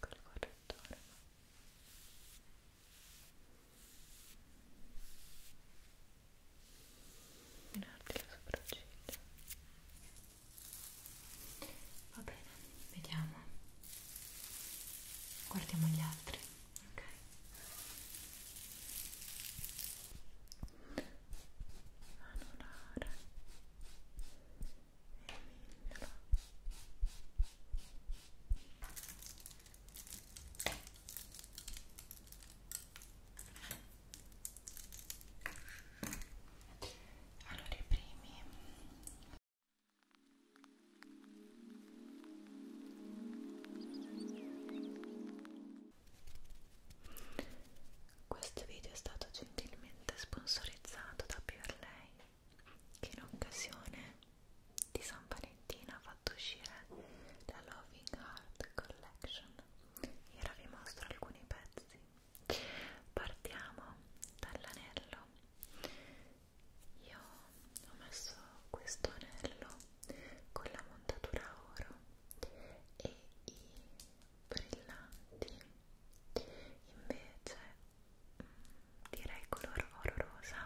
col correttore mirarti le sopracciglia va bene, vediamo guardiamo gli altri ok anulare allora i primi questo video è stato gentilmente sponsorizzato da Pure Lei che in occasione di San Valentino ha fatto uscire la Loving Heart Collection e ora vi mostro alcuni pezzi partiamo dall'anello io ho messo questo anello con la montatura oro e i brillanti invece mm, direi color oro rosa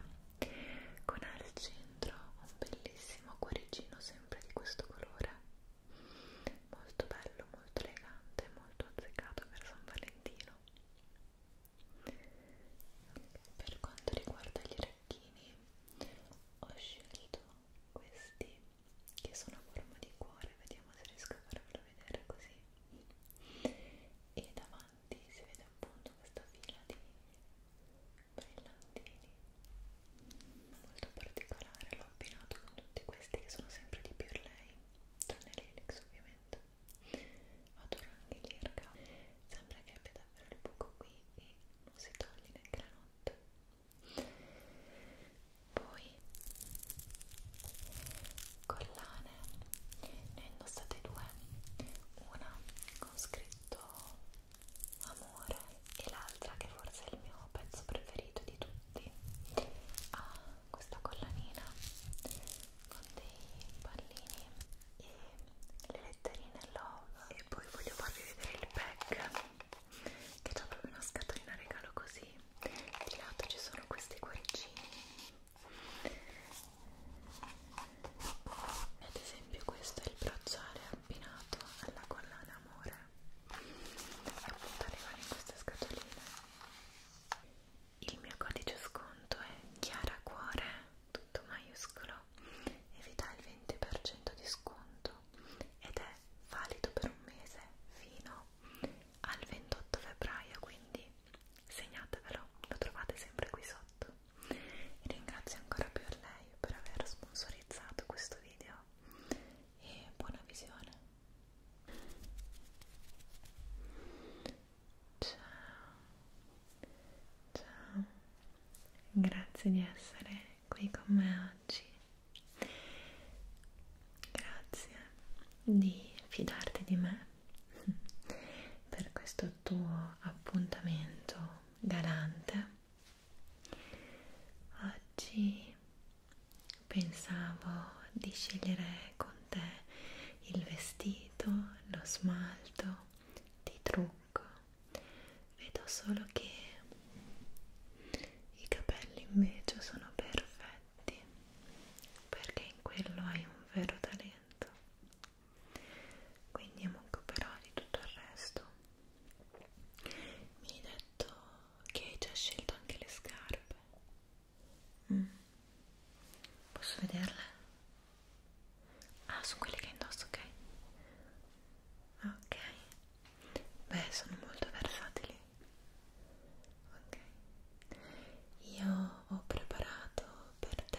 con al centro un bellissimo cuoricino sempre di questo colore molto bello, molto elegante, molto azzeccato per San Valentino per quanto riguarda gli orecchini ho scelto questi che sono a forma di cuore, vediamo se riesco a farvelo vedere così e davanti si vede appunto questa fila di brillantini molto particolare l'ho abbinato con tutti questi che sono sempre di più lei tranne l'elix ovviamente adoro anche l'irga sembra che abbia davvero il buco qui e non si toglie neanche la notte poi voi collane ne ho indossate due una con scritto amore e l'altra che forse è il mio pezzo preferito di tutti ha ah, questa collanina con dei pallini e le letterine love e poi voglio farvi vedere il pack che c'è proprio una scatolina regalo così di lato ci sono questi cuoricini ad esempio questo è il bracciale abbinato alla collana amore appunto arrivano in queste scatoline il mio codice sconto è chiara cuore tutto maiuscolo e vi dà il 20% di sconto ed è valido per un mese fino al 28 febbraio quindi segnatevelo, lo trovate sempre qui sotto. E ringrazio ancora più a lei per aver sponsorizzato questo video e buona visione. Ciao, ciao, grazie di essere qui con me oggi. Grazie di fidarti di me per questo tuo appuntamento galante. Oggi pensavo di scegliere con te il vestito, lo smalto, ti trucco. Vedo solo che i capelli invece sono perfetti talenti perché in quello hai un vero talento quindi mi occuperò di tutto il resto mi hai detto che hai già scelto anche le scarpe mm. posso vederle? ah sono quelle che indosso ok ok beh sono molto versatili ok io ho preparato per te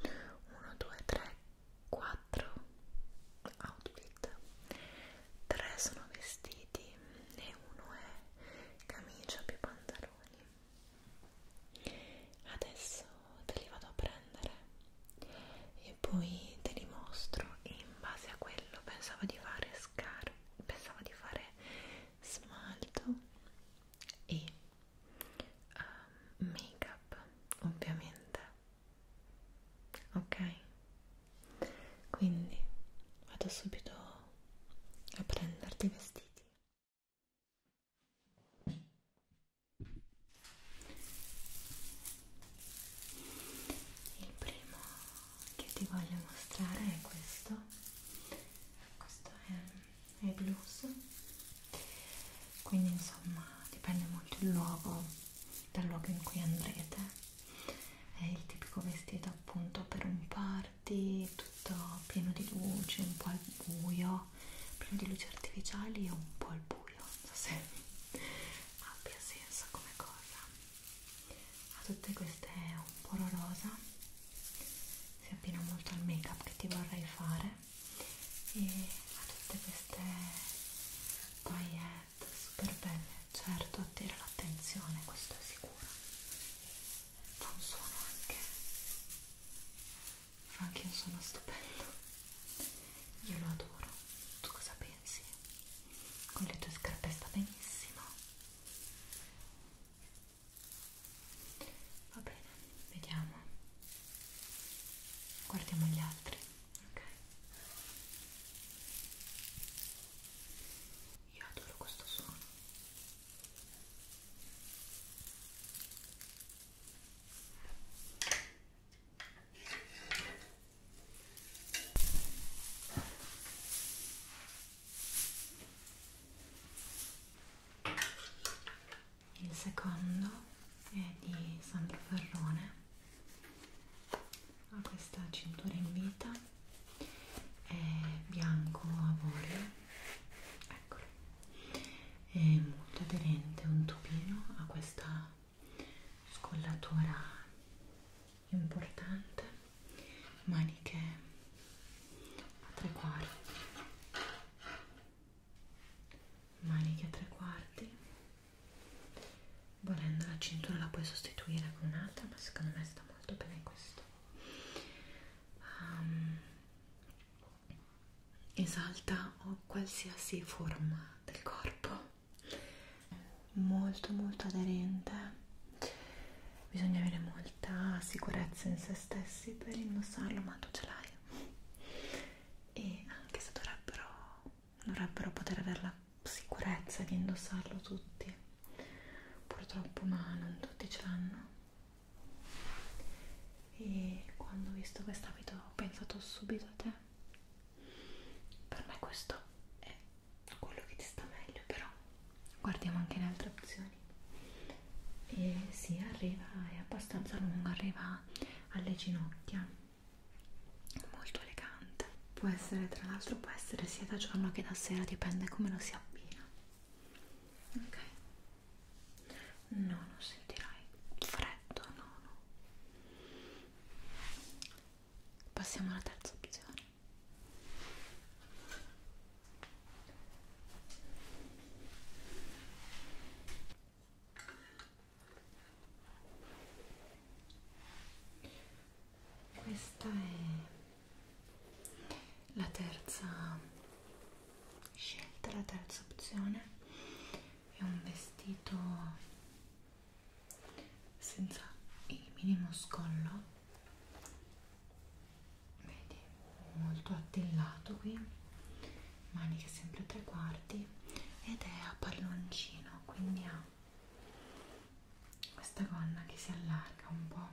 1 2 3 4 outfit 3 sono vestiti e uno è camicia più pantaloni adesso te li vado a prendere e poi te li mostro in base a quello pensavo di fare scarpe pensavo di fare smalto e um, make up ovviamente ok quindi vado subito a prenderti i vestiti il primo che ti voglio mostrare è questo questo è, è blues quindi insomma dipende molto il luogo dal luogo in cui andrete è il tipico vestito appunto per un party tutto pieno di luce un po' al buio pieno di luci artificiali e un po' al buio non so se abbia senso come cosa a tutte queste è un poro rosa si abbina molto al make up che ti vorrei fare e a tutte queste paillette super belle certo attira l'attenzione questo è sicuro fa un suono anche fa anche un suono stupendo io lo adoro tu cosa pensi? con le tue scarpe sta benissimo va bene, vediamo guardiamo gli altri ok io adoro questo suono il secondo è di Sandro Ferrone, ha questa cintura in vita, è bianco avorio, eccolo, è molto aderente, un tubino, ha questa scollatura importante maniche a tre quarti maniche a tre quarti volendo la cintura la puoi sostituire con un'altra ma secondo me sta molto bene questo um, esalta qualsiasi forma del corpo molto molto aderente bisogna avere molta sicurezza in se stessi per indossarlo, ma tu ce l'hai e anche se dovrebbero, dovrebbero poter avere la sicurezza di indossarlo tutti purtroppo ma non tutti ce l'hanno e quando ho visto quest'abito ho pensato subito a te per me questo è quello che ti sta meglio però guardiamo anche le altre opzioni e si sì, arriva è abbastanza lungo arriva alle ginocchia molto elegante può essere tra l'altro può essere sia da giorno che da sera dipende come lo si abbina ok no non sentirai freddo no no passiamo alla terza opzione questa è la terza scelta, la terza opzione. È un vestito senza il minimo scollo vedi molto attillato qui maniche sempre tre quarti ed è a palloncino quindi ha questa gonna che si allarga un po'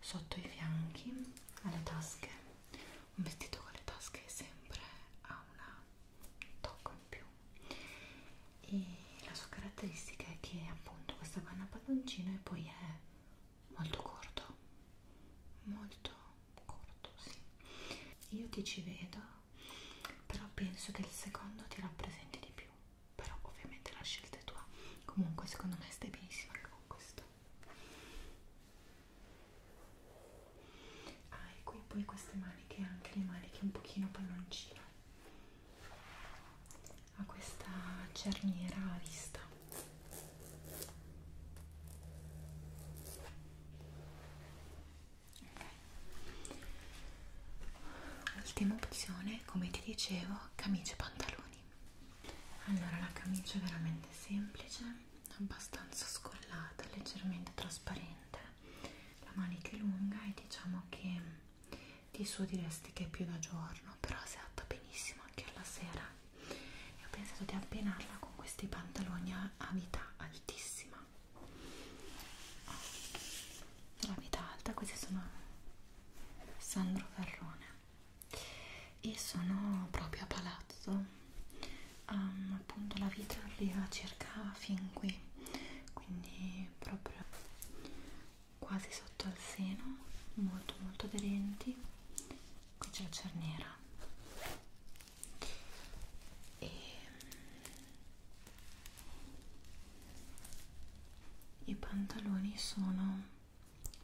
sotto i fianchi alle tasche un vestito con le tasche sempre ha una tocco in più e la sua caratteristica è che appunto questa panna palloncino e poi è molto corto molto corto sì io ti ci vedo però penso che il secondo ti rappresenti di più però ovviamente la scelta è tua comunque secondo me stai benissimo anche con questo hai ah, qui poi queste maniche anche le maniche un pochino palloncino a questa cerniera a vista okay. ultima opzione come ti dicevo camicia e pantaloni allora la camicia è veramente semplice abbastanza scollata leggermente trasparente la manica è lunga e diciamo che di suo diresti che è più da giorno però si adatta benissimo anche alla sera e ho pensato di abbinarla con questi pantaloni a, a vita altissima oh, la vita alta questi sono Sandro Ferrone e sono proprio a palazzo um, appunto la vita arriva circa fin qui quindi proprio quasi sotto al seno molto molto aderenti qui c'è la cerniera e i pantaloni sono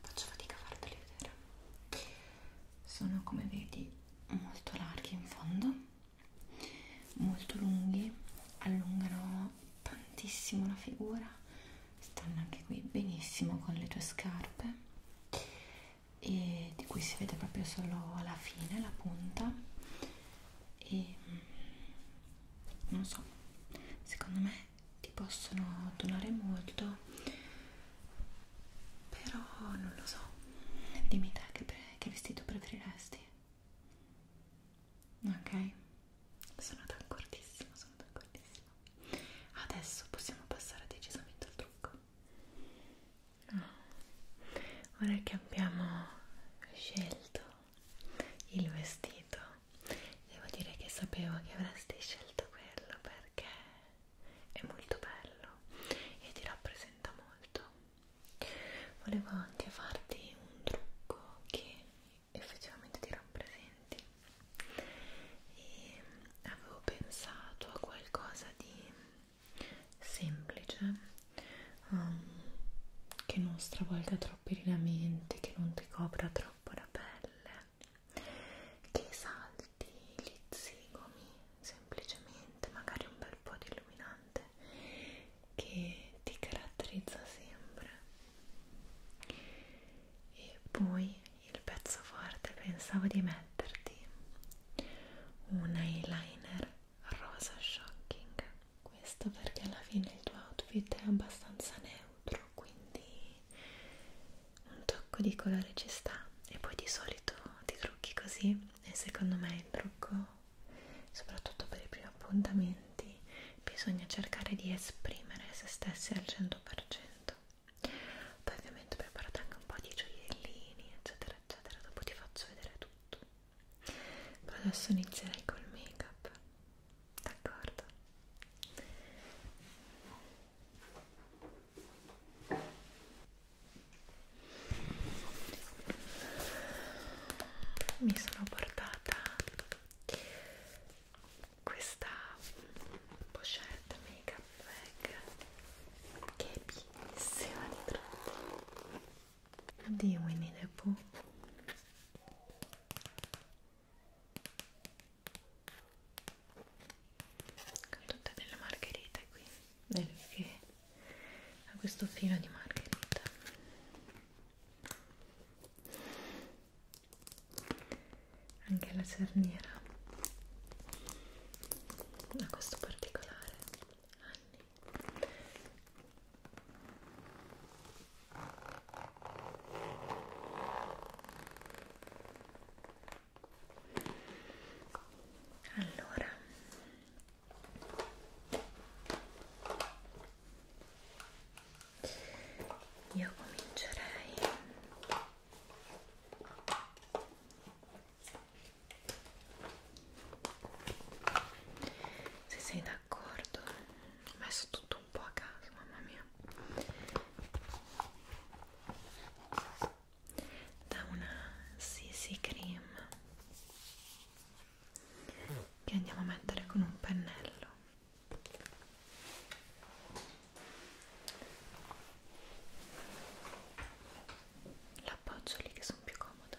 faccio fatica a farveli vedere sono come vedi molto larghi in fondo molto lunghi allungano tantissimo la figura stanno anche qui benissimo con le tue scarpe e di cui si vede proprio solo la fine, la punta e mm, non so, secondo me ti possono donare molto però non lo so dimmi te che, che vestito preferiresti ok? Sono d'accordissimo, sono d'accordissimo. Adesso possiamo passare decisamente al trucco. Oh. Ora che abbiamo scelto il vestito, devo dire che sapevo che avresti scelto quello perché è molto bello e ti rappresenta molto. Volevo anche farti un trucco che effettivamente ti rappresenti e avevo pensato a qualcosa di semplice um, che non stravolga troppo i lineamenti che non ti copra troppo la pelle che salti gli zigomi semplicemente magari un bel po' di illuminante che ti caratterizza sempre e poi il pezzo forte pensavo di metterti un eyeliner rosa shocking questo perché alla fine il tuo outfit è abbastanza neutro quindi un tocco di colore ci sta e poi di solito ti trucchi così e secondo me il trucco soprattutto per i primi appuntamenti senti, bisogna cercare di esprimere se stessi al 100%. Poi ovviamente ho preparato anche un po' di gioiellini, eccetera, eccetera, dopo ti faccio vedere tutto. Però adesso inizierei col make-up, d'accordo? Mi sono portata questa pochette make up bag che è bellissima di tratti di Winnie the Pooh con tutte delle margherite qui perché ha questo filo di margherita anche la cerniera a questo particolare anni allora io comincerei se sei d'accordo ho messo tutto un po' a caso mamma mia da una CC cream che andiamo a mettere con un pennello l'appoggio lì che sono più comoda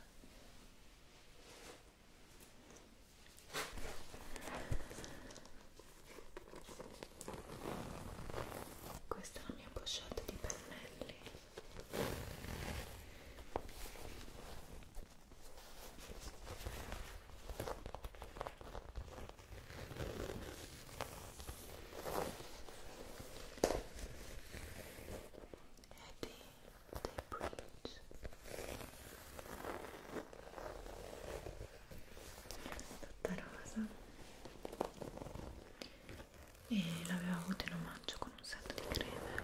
questa è la mia pochette di pennelli Eddie, they preach. Tutta rosa. E l'avevo avuto in omaggio con un set di creme.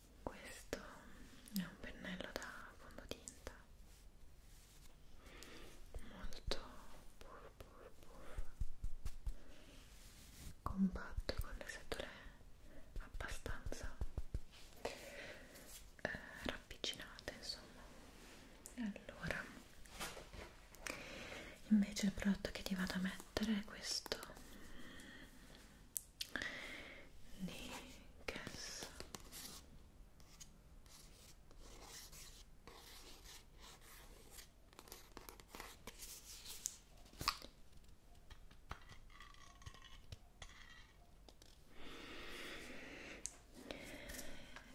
questo è un pennello da fondotinta molto puff, puff, puff. compatto con le setole abbastanza eh, ravvicinate insomma allora invece il prodotto che ti vado a mettere è questo Nickels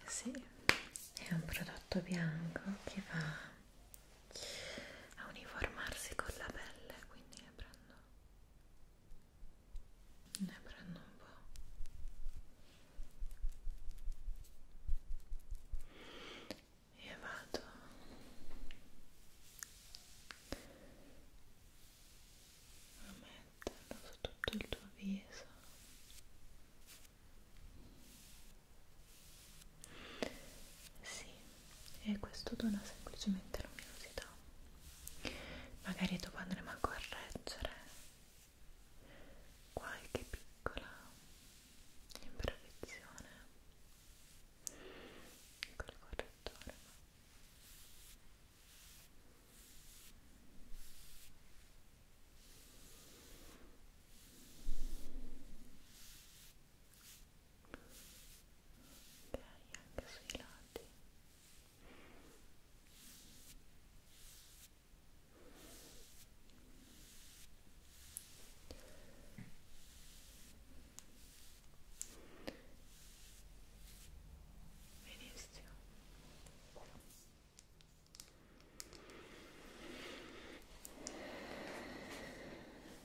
sì, è un prodotto bianco che va a uniformarsi con la pelle, quindi ne prendo ne prendo un po' e vado a metterlo su tutto il tuo viso sì, e questo dona semplicemente luminosità magari dopo andremo a correggere qualche piccola imperfezione col correttore ok ok, anche sui lati benissimo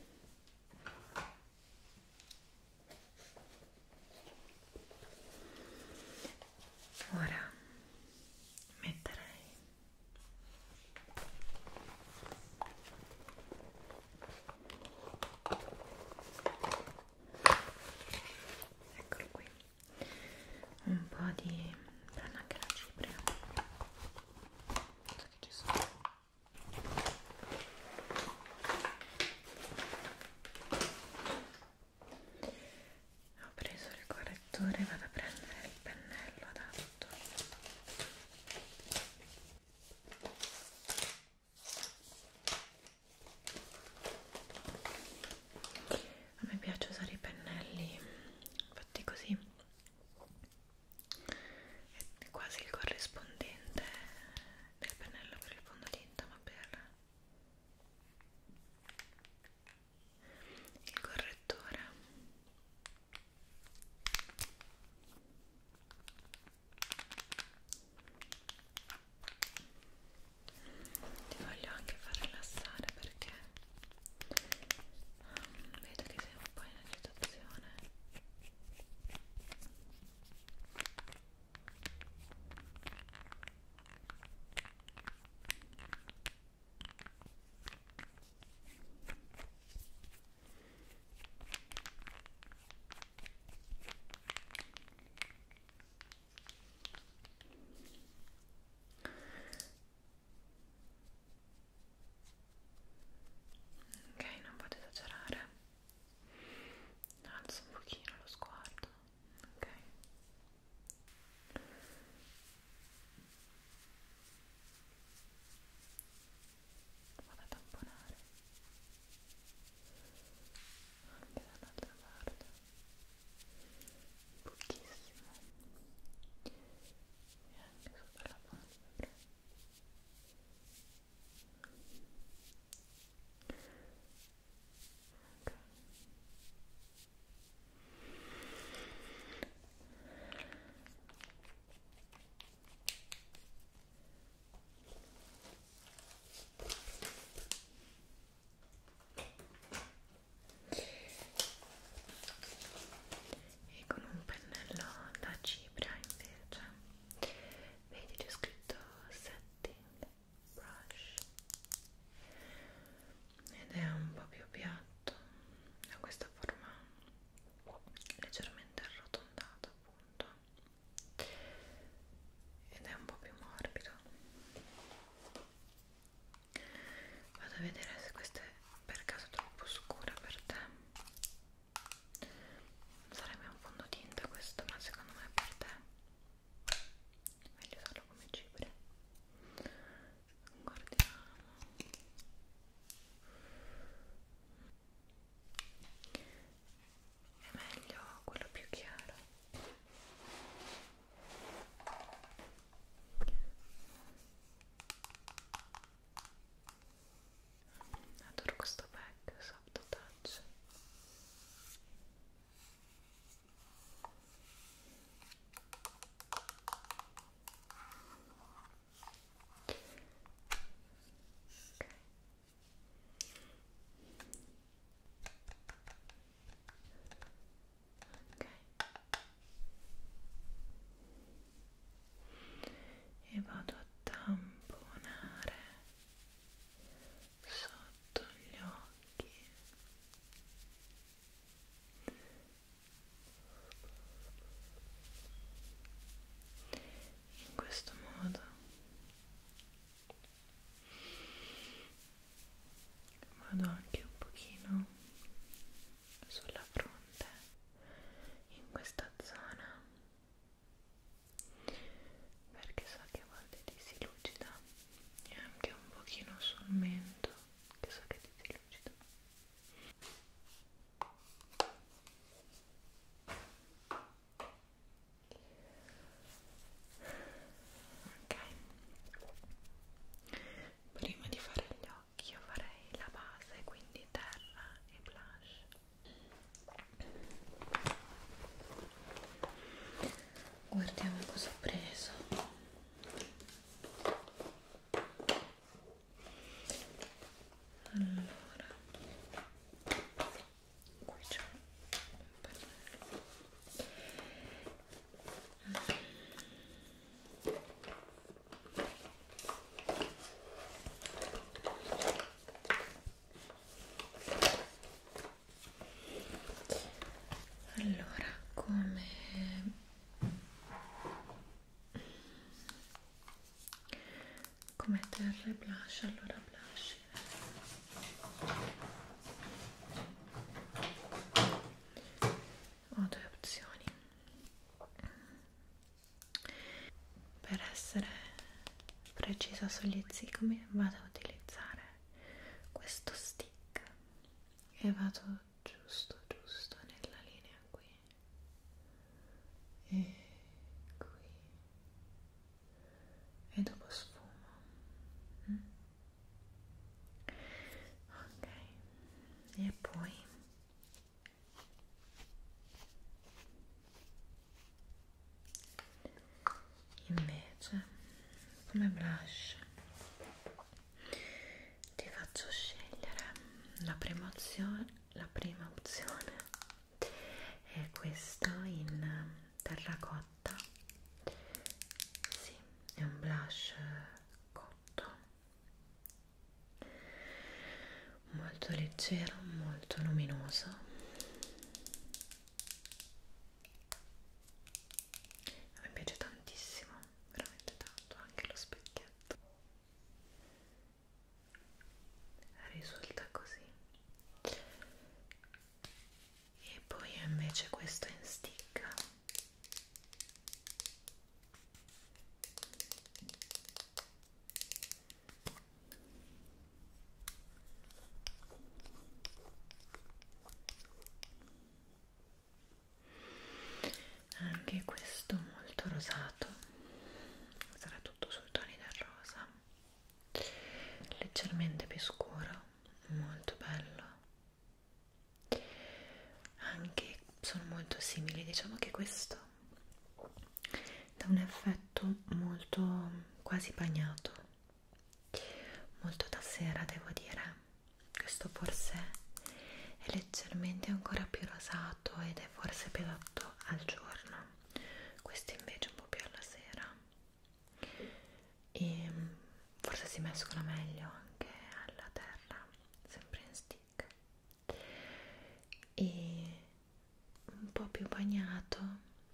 ok Ora metterei eccolo qui un po' di panna che la cipria non so che ci sono ho preso il correttore e vado a prendere il pennello adatto. A me piace usare i pennelli fatti così, è quasi il corrispondente per il pennello, per il fondotinta, ma per il correttore ti voglio anche far rilassare perché um, vedo che sei un po' in agitazione Ok, non vado ad esagerare alzo un pochino lo sguardo ok vado a tamponare anche dall'altra parte pochissimo e anche sopra la palpebra ok e con un pennello da cipria invece vedi c'è scritto setting brush ed è un po' più piatto ha questa forma leggermente arrotondata appunto ed è un po' più morbido vado a vedere se questa è per caso troppo scura per te sarebbe un fondotinta questo ma secondo me per te meglio usarlo come cibre guardiamo è meglio quello più chiaro adoro questo pack soft touch ok ok e vado a tamponare sotto gli occhi in questo modo vado anche un pochino sulla fronte in questa zona perché so che a volte ti si lucida e anche un pochino sul mento che so che ti si lucida ok prima di fare gli occhi io farei la base quindi terra e blush Guardiamo cosa ho preso. Allora, qui c'è un pannello allora come come terre blush allora blush ho due opzioni per essere precisa sugli zigomi vado a utilizzare questo stick e vado giusto giusto nella linea qui e qui e dopo sfumo mm? ok e poi invece come blush ti faccio scegliere la prima opzione la prima opzione è questa in terracotta sì, è un blush cotto molto leggero, molto luminoso mi piace tantissimo, veramente tanto, anche lo specchietto risulta così e poi invece questo in stick anche questo molto rosato sarà tutto sul toni del rosa leggermente più scuro molto bello anche sono molto simili diciamo che questo dà un effetto molto quasi bagnato molto da sera devo dire questo forse è leggermente ancora più rosato ed è forse più adatto al giorno questo invece un po' più alla sera e ehm, forse si mescola meglio anche alla terra sempre in stick e un po' più bagnato,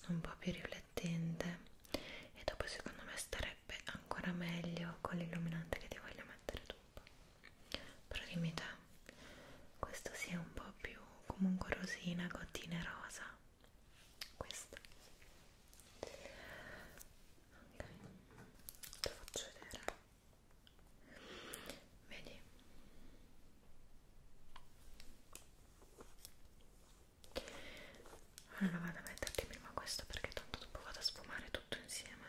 un po' più riflettente e dopo secondo me starebbe ancora meglio con l'illuminante che ti voglio mettere dopo. Però dimmi te, questo sia sì un po' più comunque rosina, gottine rosa. Questo. Ok, te lo faccio vedere vedi allora vado a metterti prima questo perché tanto dopo vado a sfumare tutto insieme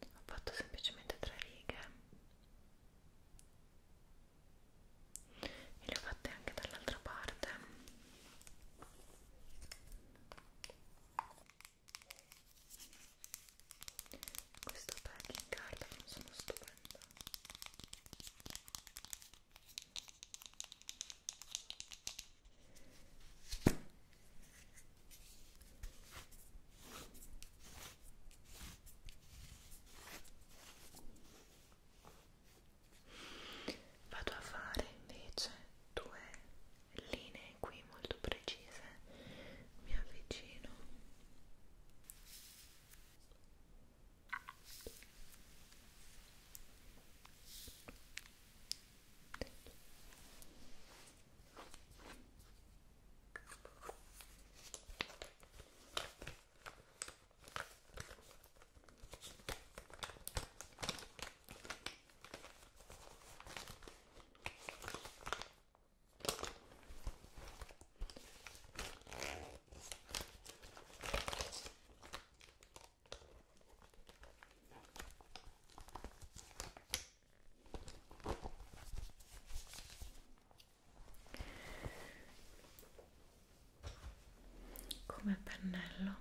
ho fatto semplicemente tre righe e le ho fatte anche dall'altra parte questo packing card non sono stupendo Vado a fare invece due linee qui molto precise mi avvicino come pennello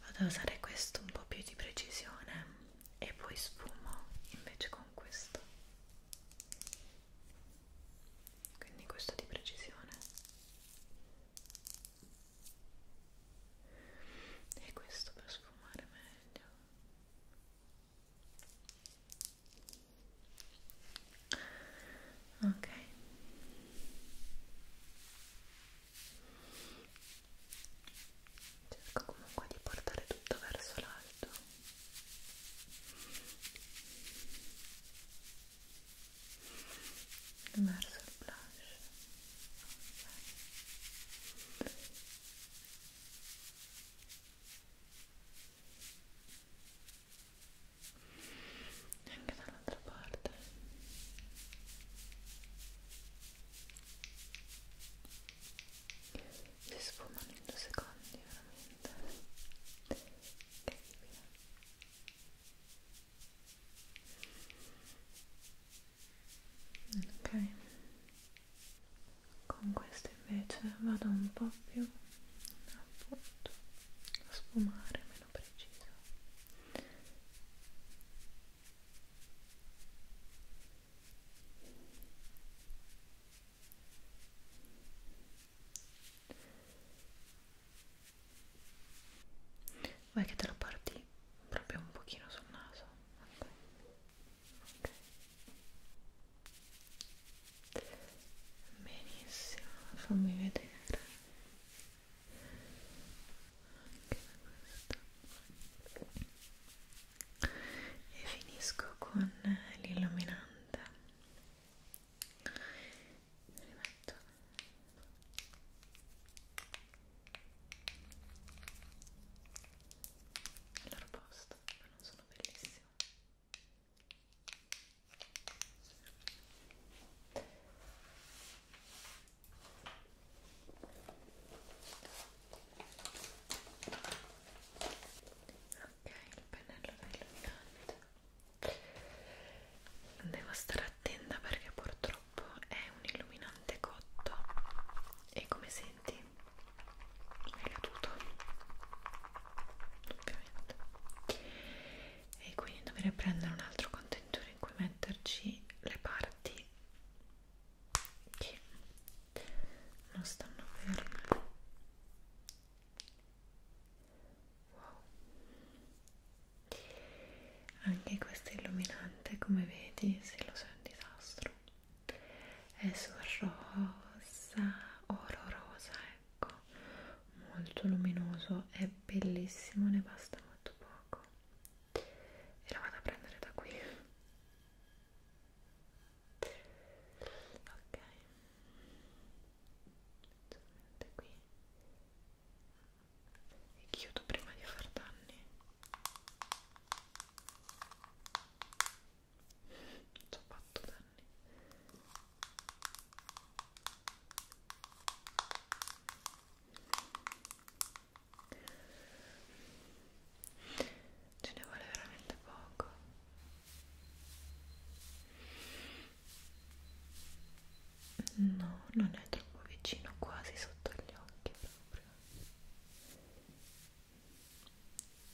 vado a usare questo un po' più di precisione e poi sfumo invece con questo quindi questo di precisione e questo per sfumare meglio ok cerco comunque di portare tutto verso l'alto verso il blush okay. anche dall'altra dall'altra parte si sfumano in due secondi veramente incredibile ok con questo invece vado un po' più appunto a sfumare meno preciso vuoi che te lo porti proprio un pochino sul naso? Okay. Okay. Benissimo, fammi vedere questo e finisco con l'illuminante rimetto al loro posto ma non sono bellissimo Ok, il pennello è illuminante. Devo stare attenta perché purtroppo è un illuminante cotto e come senti è caduto ovviamente e quindi dovrei prendere un altro contenitore in cui metterci le parti che non stanno ferme wow anche questo illuminante come vedi se lo so è un disastro è sul rosa oro rosa ecco molto luminoso è bellissimo ne basta molto poco ecco e la vado a prendere da qui ok solamente qui e chiudo prima di far danni ci ho fatto danni ce ne vuole veramente poco no non è troppo vicino quasi sotto gli occhi proprio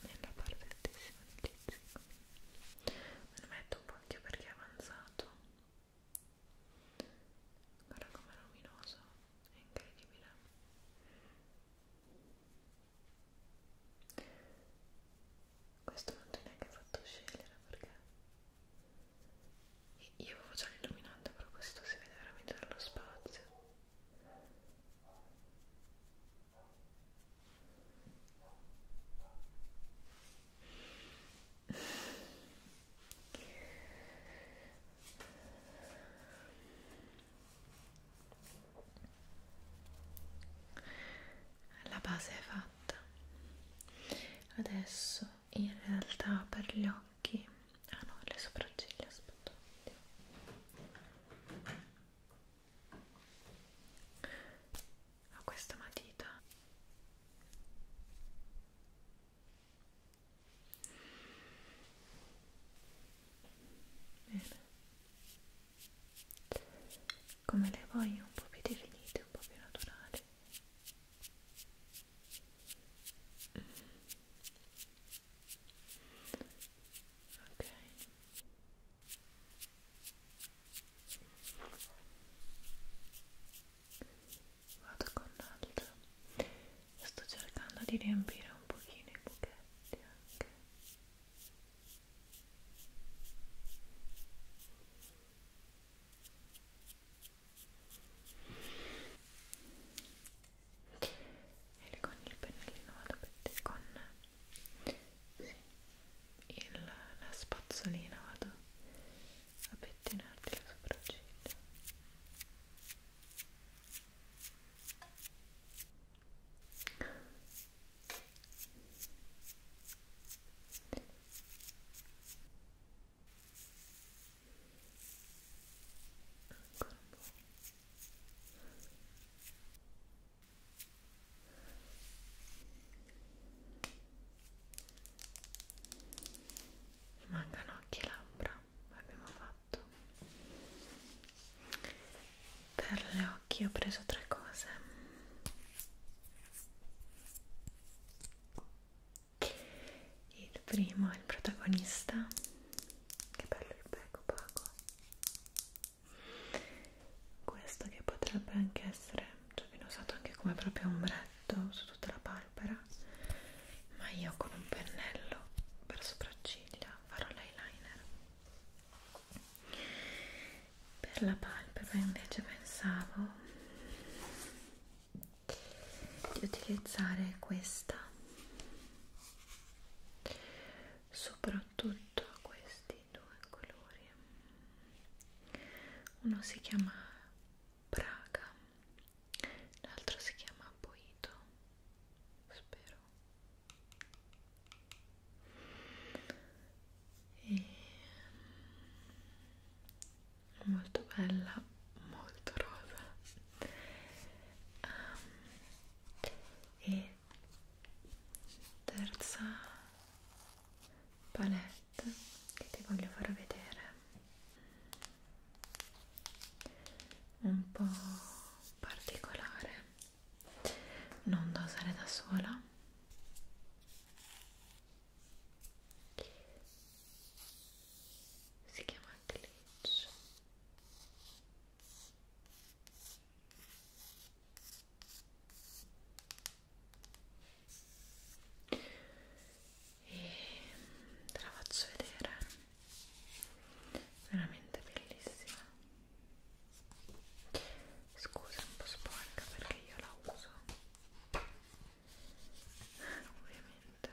nella parte altissima del lizzico me lo metto un po' anche perché è avanzato guarda com'è luminoso è incredibile questo non ti ho neanche fatto scegliere perché io avevo già l'illuminante però questo si vede veramente dallo spazio la base è fatta adesso in realtà per gli occhi ah no le sopracciglia aspetta ho questa matita Bene. Come le voglio un po' più definite, un po' più naturali. Ok vado con l'altro e sto cercando di riempire un pochino i buchetti anche e con il pennellino vado con il, la spazzolina vado a pettinarti le sopracciglia ancora un po' Ecco mancano anche le labbra abbiamo fatto per le occhi ho preso tre cose il primo è il protagonista che bello il becco opaco questo che potrebbe anche essere cioè viene usato anche come proprio ombretto su tutta la palpebra ma io con un pennello per sopracciglia farò l'eyeliner per la palpebra invece pensavo di utilizzare questa soprattutto questi due colori uno si chiama Praga l'altro si chiama Boito spero e mm, molto bella molto rosa um, e terza palette che ti voglio far vedere un po' particolare non da usare da sola si chiama glitch e te la faccio vedere veramente bellissima scusa è un po' sporca perché io la uso ovviamente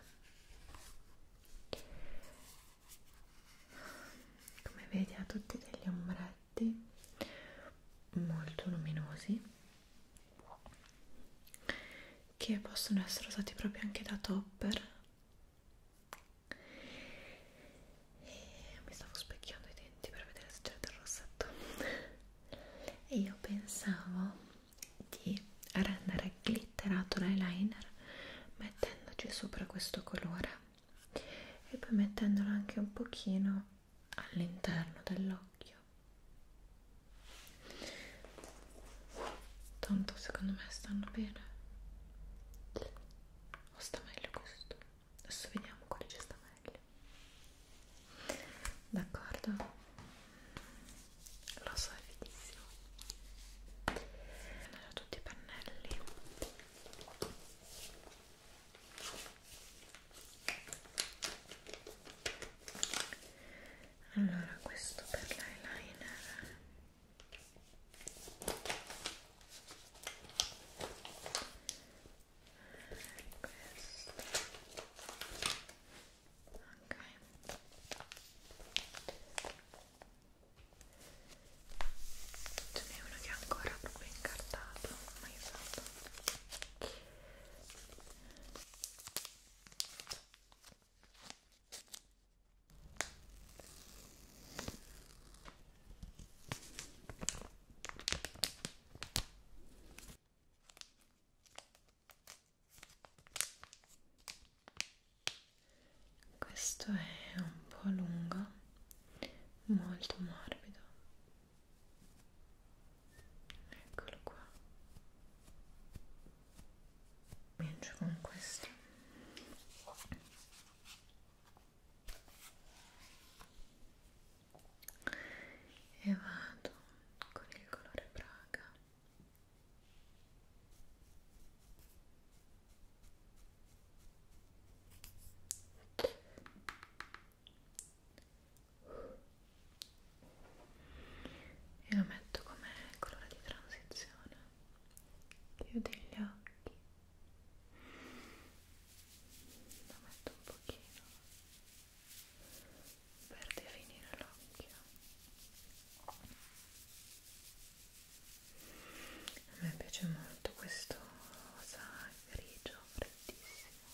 come vedi ha tutti degli ombretti molto luminosi che possono essere usati proprio anche da topper e mi stavo specchiando i denti per vedere se c'era del rossetto e io pensavo di rendere glitterato l'eyeliner mettendoci sopra questo colore e poi mettendolo anche un pochino all'interno dell'occhio tanto secondo me stanno bene o sta meglio questo? adesso vediamo quale ci sta meglio d'accordo? lo so è finissimo sono tutti i pannelli allora questo per l'eyeliner questo ok ce n'è uno che è ancora proprio incartato mai usato questo è un po' lungo, molto morbido eccolo qua comincio con questo e vado con il colore Praga e lo metto come colore di transizione chiudi gli occhi lo metto un pochino per definire l'occhio a me piace molto questo rosa grigio freddissimo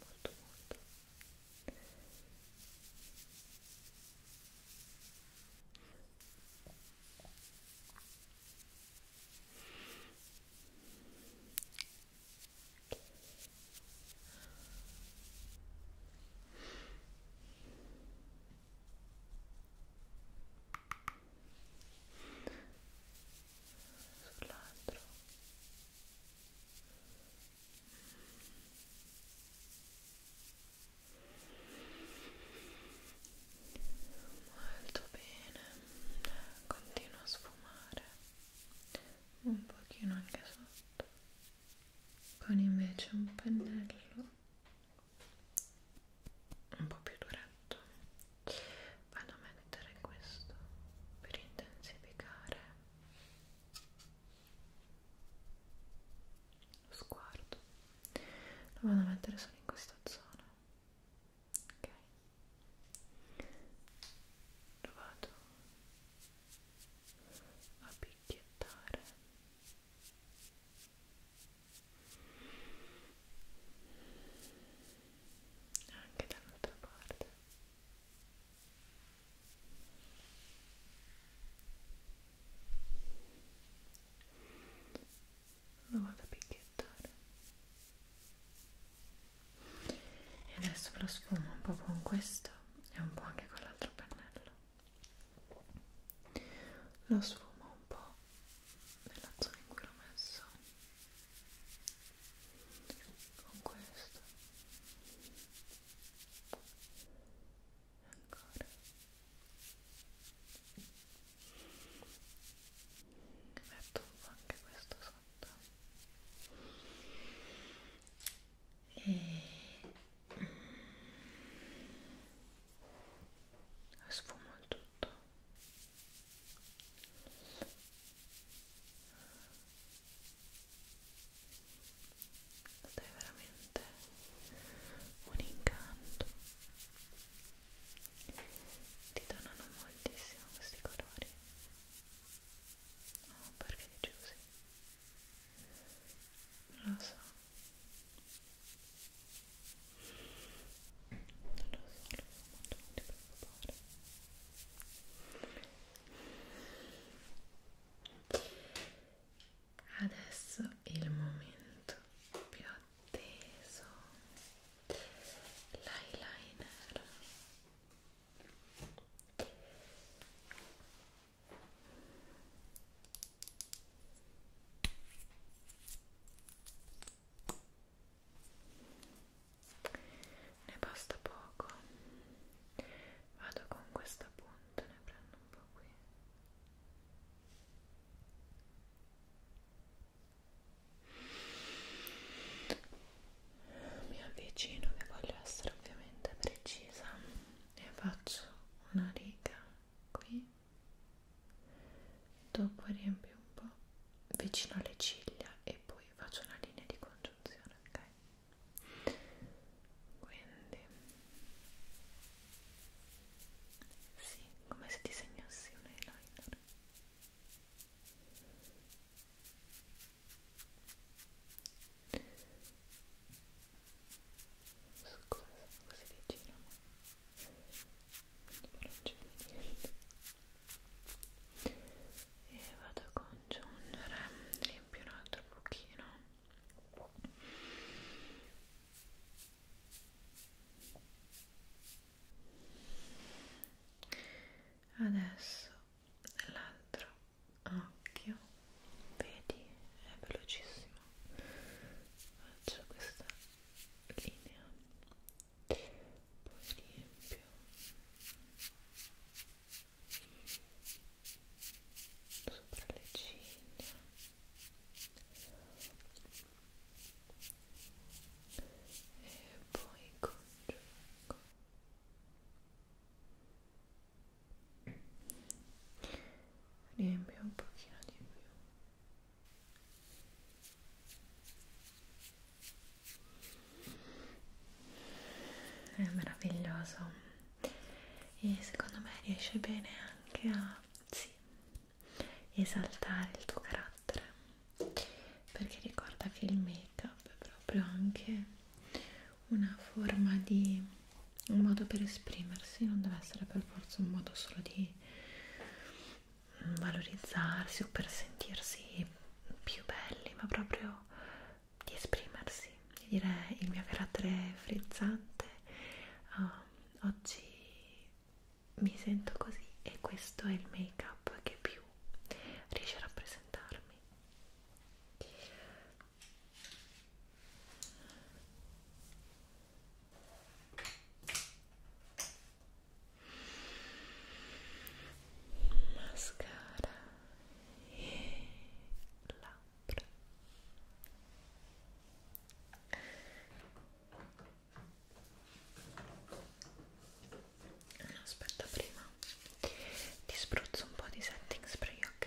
molto molto sull'altro molto bene continua a sfumare un pochino anche sotto con invece un pennello un po' più duretto vado a mettere questo per intensificare lo sguardo lo vado a mettere solo in questa zona ok lo vado a picchiettare anche dall'altra parte ok lo vado a picchiettare e adesso ve lo sfumo un po' con questo e un po' anche con l'altro pennello lo sfumo un po' nella zona in cui l'ho messo con questo e ancora metto un po' anche questo sotto e mm, sfumo il tutto sei veramente un incanto. Ti donano moltissimo questi colori. Oh, perché dici così? Non lo so. Non lo so, non so molto, non ti preoccupare. Adesso il momento più atteso, l'eyeliner. Ecco ne basta poco vado con questa punta ne prendo un po' qui mi avvicino che voglio essere ovviamente precisa e faccio una riga qui dopo riempio un po' vicino alle ciglia e poi faccio una linea di congiunzione ok quindi sì, come se disegnassi un eyeliner scusa, così di giro ma non c'è niente e vado a congiungere riempio un altro pochino adesso l'altro occhio vedi è velocissimo faccio questa linea poi riempio sopra le ciglia e poi congiungo riempio un pochino di più è meraviglioso e secondo me riesce bene anche a sì, esaltare il tuo carattere perché ricorda che il make up è proprio anche una forma di un modo per esprimersi non deve essere per forza un modo solo di valorizzarsi o per sentirsi più belli ma proprio di esprimersi, di dire il mio carattere frizzante, uh, oggi mi sento così e questo è il make up che più riesce a rappresentarmi. Mascara e labbra aspetta prima ti spruzzo un po' di setting spray ok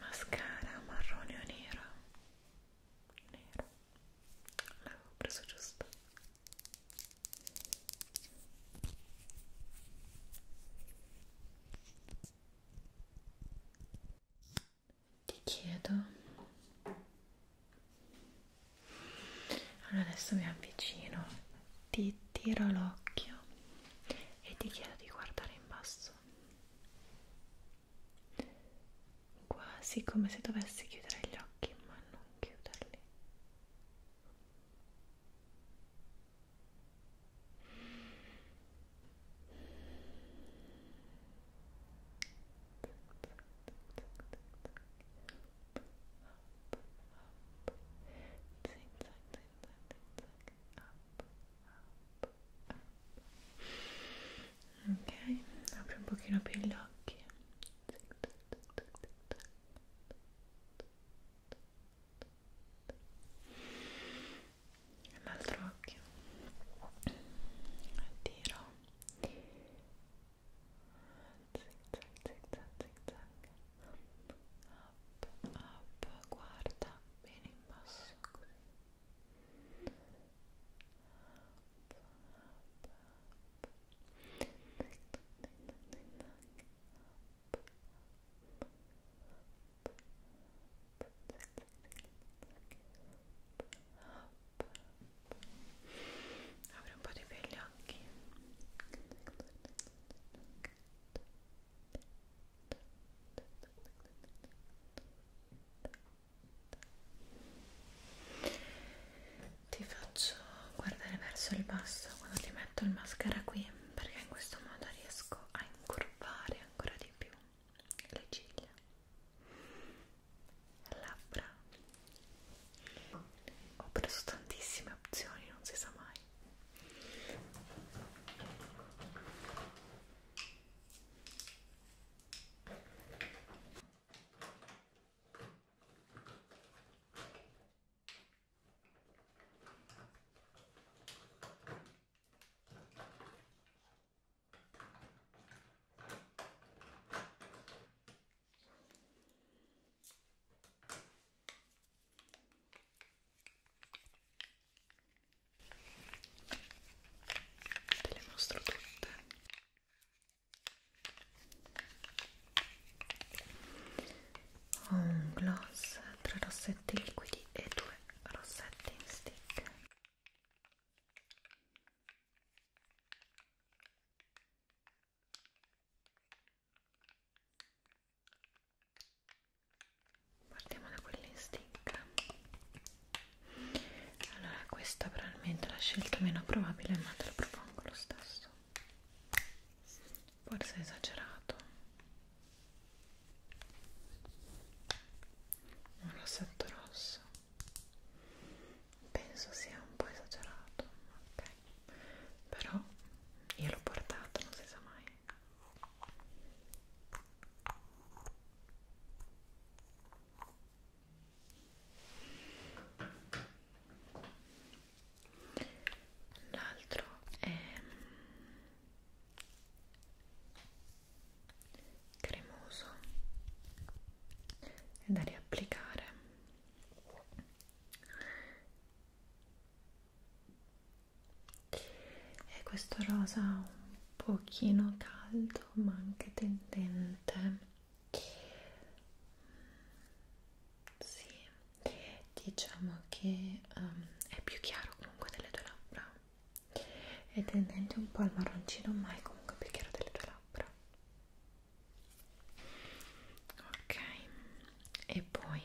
mascara marrone o nero? nero l'avevo preso giusto ti chiedo allora adesso mi avvicino ti tiro l'occhio e ti chiedo di guardare in basso quasi come se dovessi chiudere gli occhi ma non chiuderli Ok, apri un pochino più gli occhi. Tic, tic, tic, tic, tic, tic l'altro occhio tiro zig zag zig zag zig zag up up guarda bene in basso così up up up zig zag zig zag up Avrei un po' di begli occhi. Ti faccio guardare verso il basso quando ti metto il mascara qui perché in questo modo riesco a incurvare ancora di più le ciglia, le labbra. Ho preso tantissime opzioni, non si sa mai. Te le mostro tutte ho un gloss, tre rossetti liquidi e due rossetti in stick partiamo da quelli in stick allora questa probabilmente è la scelta meno probabile ma te la propongo lo stesso forse è esagerato un rossetto rosso penso sia un po' esagerato ok però io l'ho portato non si sa mai l'altro è mm, cremoso e da riapplicare e questo rosa un pochino caldo ma anche tendente mm, sì diciamo che um, è più chiaro comunque delle tue labbra è tendente un po' al marroncino ma è comunque più chiaro delle tue labbra ok e poi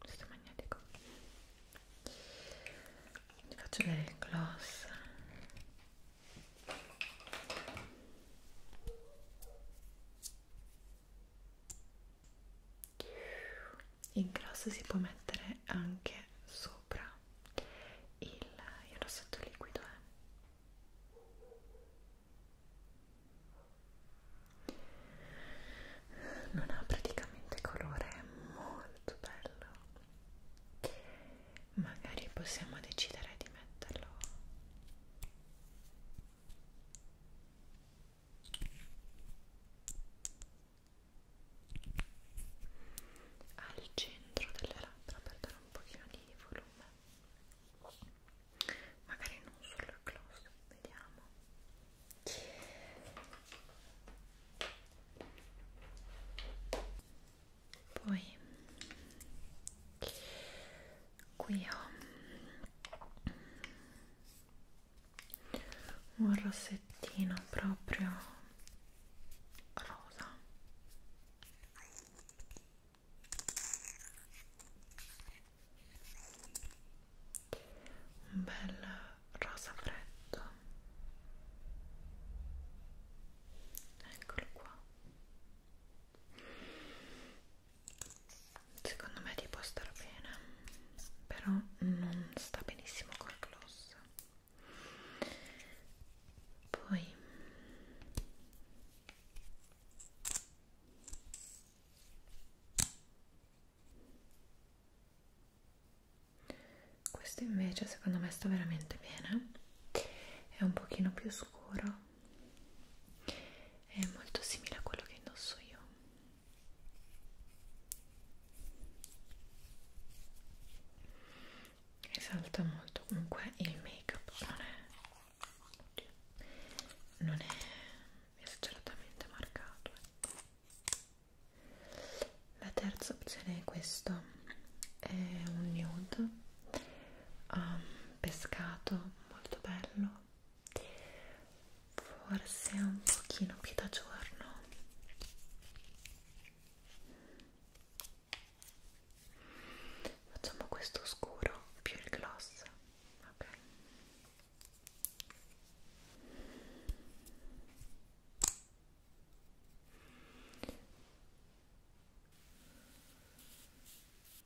questo magnetico ti faccio vedere il gloss il grosso si può mettere anche sopra il, il rossetto liquido. Eh. Non ha praticamente colore, è molto bello. Magari possiamo decidere di metterlo al centro delle labbra per dare un pochino di volume magari non solo il gloss vediamo poi qui ho un rossettino proprio rosa un bel rosa freddo eccolo qua secondo me ti può star bene però non sta benissimo col gloss poi questo invece secondo me sta veramente bene è un pochino più scuro è molto simile a quello che indosso io esalta molto comunque il make up non è non è esageratamente marcato eh. la terza opzione è questo è un nude um, pescato molto bello forse un pochino più da giorno facciamo questo scuro più il gloss ok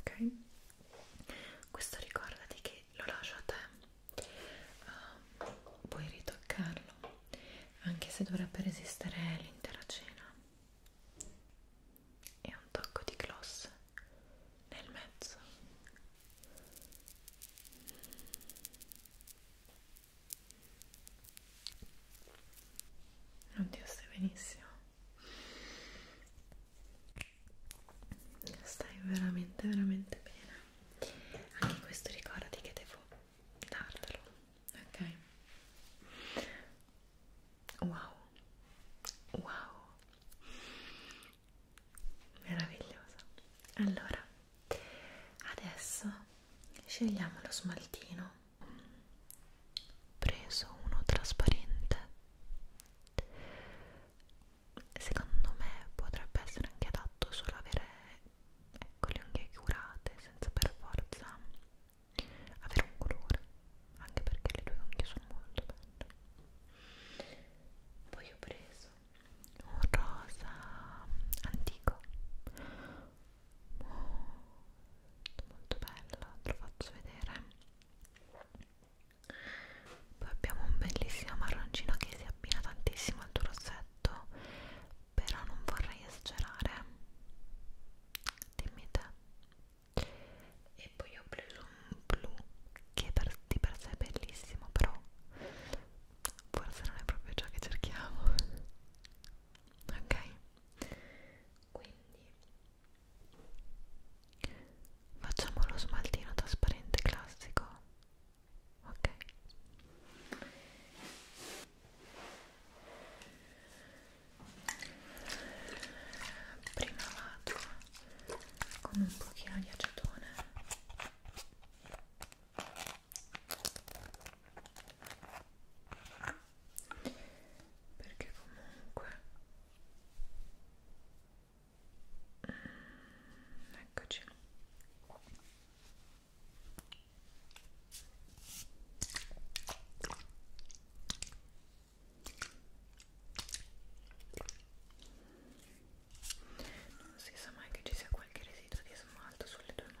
ok? Questo ricordati che lo lascio a te, uh, puoi ritoccarlo anche se dovrebbe resistere l'intera cena. E un tocco di gloss nel mezzo. Oddio, stai benissimo stai veramente veramente bene anche questo ricordati che devo dartelo ok wow wow meravigliosa allora adesso scegliamo lo smaltino preso uno trasparente Secondo me potrebbe essere anche adatto solo avere ecco, le unghie curate senza per forza avere un colore, anche perché le tue unghie sono molto belle. Poi ho preso un rosa antico molto molto bello, te lo faccio vedere poi abbiamo un bellissimo marroncino che si abbina tantissimo al tuo rossetto però non vorrei esagerare dimmi te e poi ho preso un blu che per, di per sé è bellissimo però forse non è proprio ciò che cerchiamo ok quindi facciamo lo smaltino trasparente classico ok prima vado con un pochino di acetone perché comunque Eccoci. Non si sa mai che ci sia qualche residuo di smalto sulle tue mani.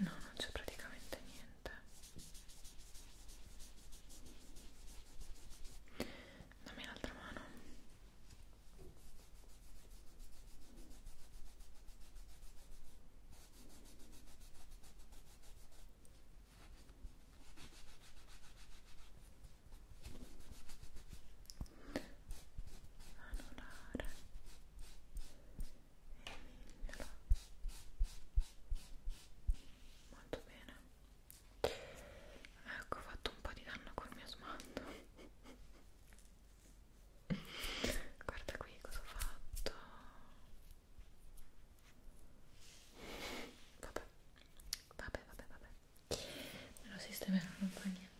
No, non c'è praticamente niente. Dammi l'altra mano. Anulare molto bene ecco ho fatto un po' di danno col mio smalto guarda qui cosa ho fatto vabbè vabbè vabbè vabbè me lo sistemerò non fa niente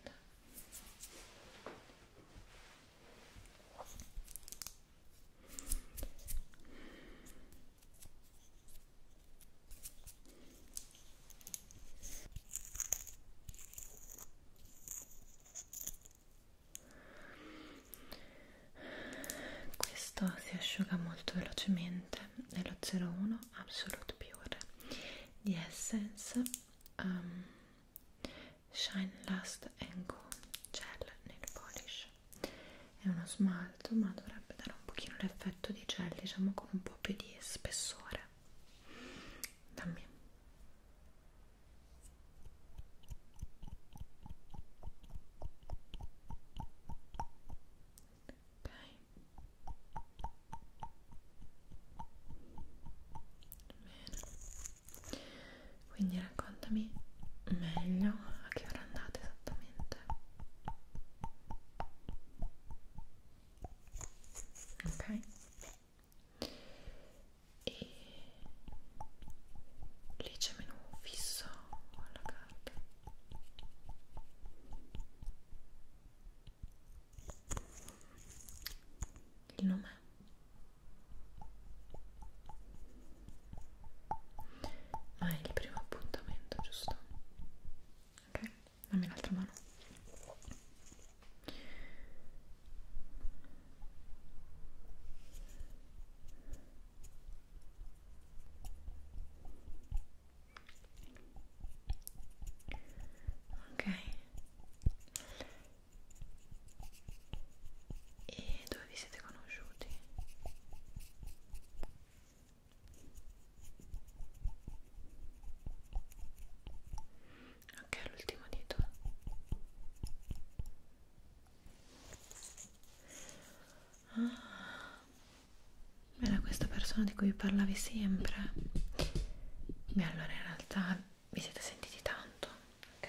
questo si asciuga molto velocemente è lo 01 Absolute Pure di Essence um, Shine Last and Go Gel Nail Polish è uno smalto ma dovrebbe dare un pochino l'effetto di gel diciamo con un po' più di spessore dammi ok bene quindi raccontami meglio a che ora andate esattamente ok e lì c'è menu fisso alla carta il nome ma ah, è il primo appuntamento giusto? ok dammi l'altra mano ok e dove vi siete conosciuti? Ok, l'ultimo dito. Ah, era questa persona di cui parlavi sempre. Beh, allora in realtà vi siete sentiti tanto, ok?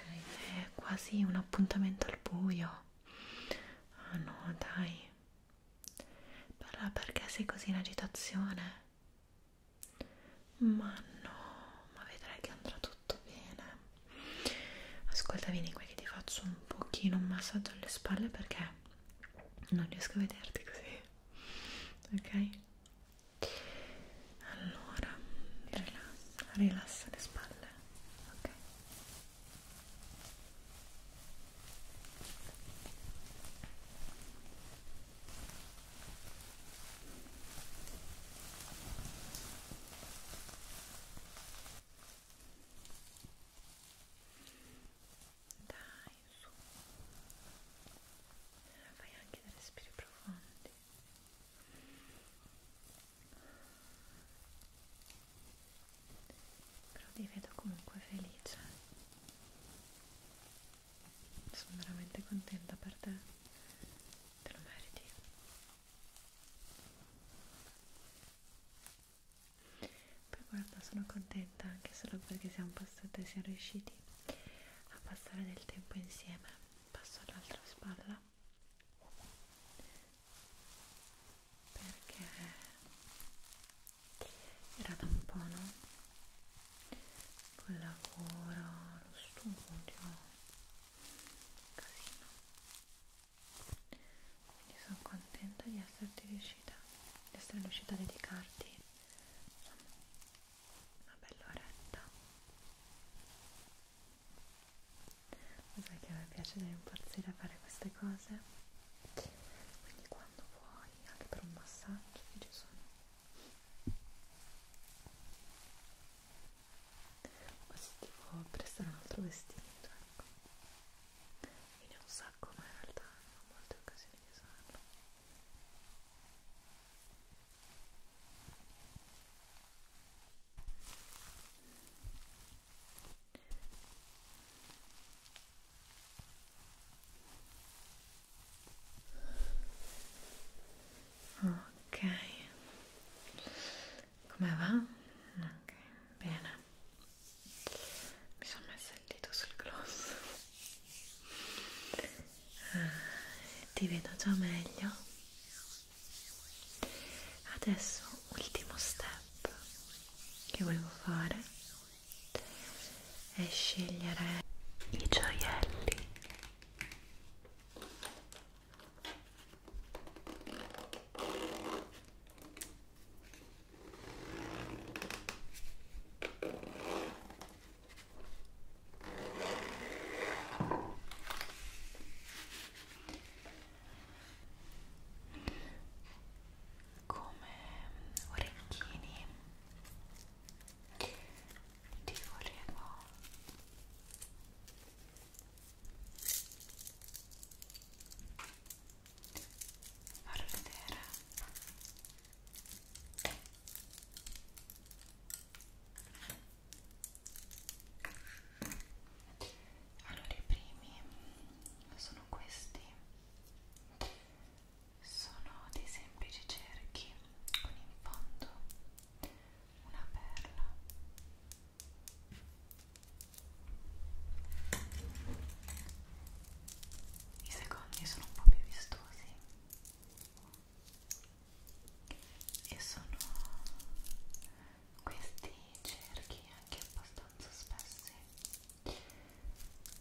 È quasi un appuntamento al buio. Ah oh no, dai. Però perché sei così in agitazione? Ma no, ma vedrai che andrà tutto bene. Ascolta, vieni qui che ti faccio un pochino un massaggio alle spalle perché non riesco a vederti così. Ok? allora rilassa, rilassa le spalle ok dai su fai anche dei respiri profondi quindi però ti vedo comunque felice sono veramente contenta per te te lo meriti poi guarda sono contenta anche solo perché siamo passate siamo riusciti a passare del tempo insieme passo all'altra spalla perché era da un po' no? col lavoro, lo studio, casino quindi sono contenta di esserti riuscita di essere riuscita a dedicarti insomma, una bella oretta lo sai che a me piace dare impazzire a fare queste cose quindi quando vuoi anche per un massaggio io ci sono o se ti può prestare un altro vestito ecco io ne ho un sacco ma in realtà non ho molte occasioni di usarlo Ok, come va? Ok, bene. Mi sono messa il dito sul gloss ti vedo già meglio adesso ultimo step che volevo fare è scegliere i gioielli come orecchini ti volevo far vedere allora i primi sono questi sono dei semplici cerchi con in fondo una perla i secondi sono un po' più vistosi e sono questi cerchi anche abbastanza spessi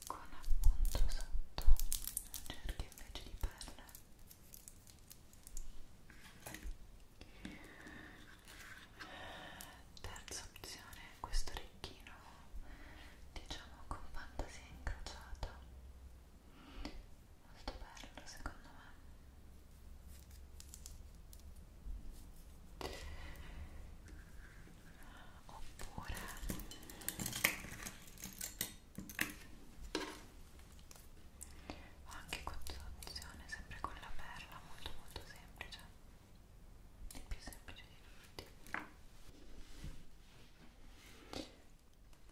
con appunto sotto un cerchio invece di perle terza opzione questo orecchino diciamo con fantasia incrociata molto bello secondo me oppure ho anche questa opzione sempre con la perla molto molto semplice il più semplice di tutti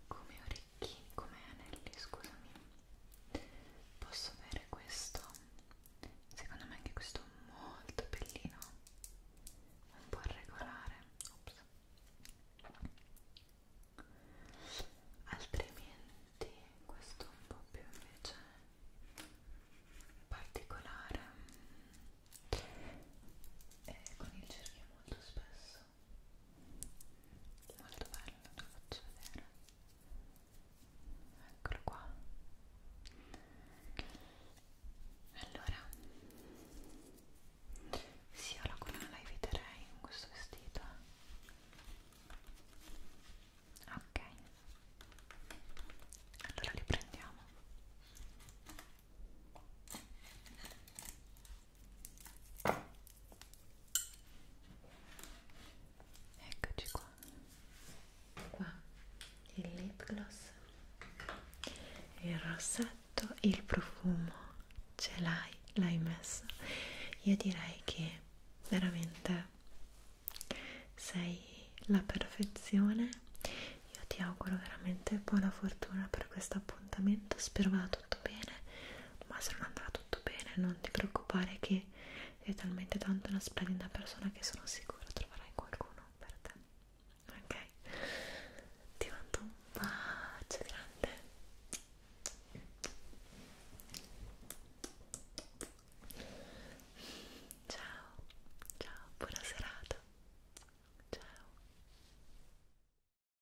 come orecchini, come anelli, scusami posso avere questo secondo me anche questo molto bellino un po' regolare Ops. altrimenti questo un po' più invece particolare e eh, con il cerchio molto spesso molto bello, te lo faccio vedere eccolo qua allora sì, la collana la eviterei in questo vestito ok allora li prendiamo Eccoci qua. Qua il lip gloss, il rossetto, il profumo, ce l'hai, l'hai messo. Io direi che veramente sei la perfezione. Io ti auguro veramente buona fortuna per questo appuntamento. Spero vada tutto bene ma se non andrà tutto bene non ti preoccupare che sei talmente tanto una splendida persona che sono sicura troverai qualcuno per te ok? ti mando un bacio grande ciao ciao buona serata ciao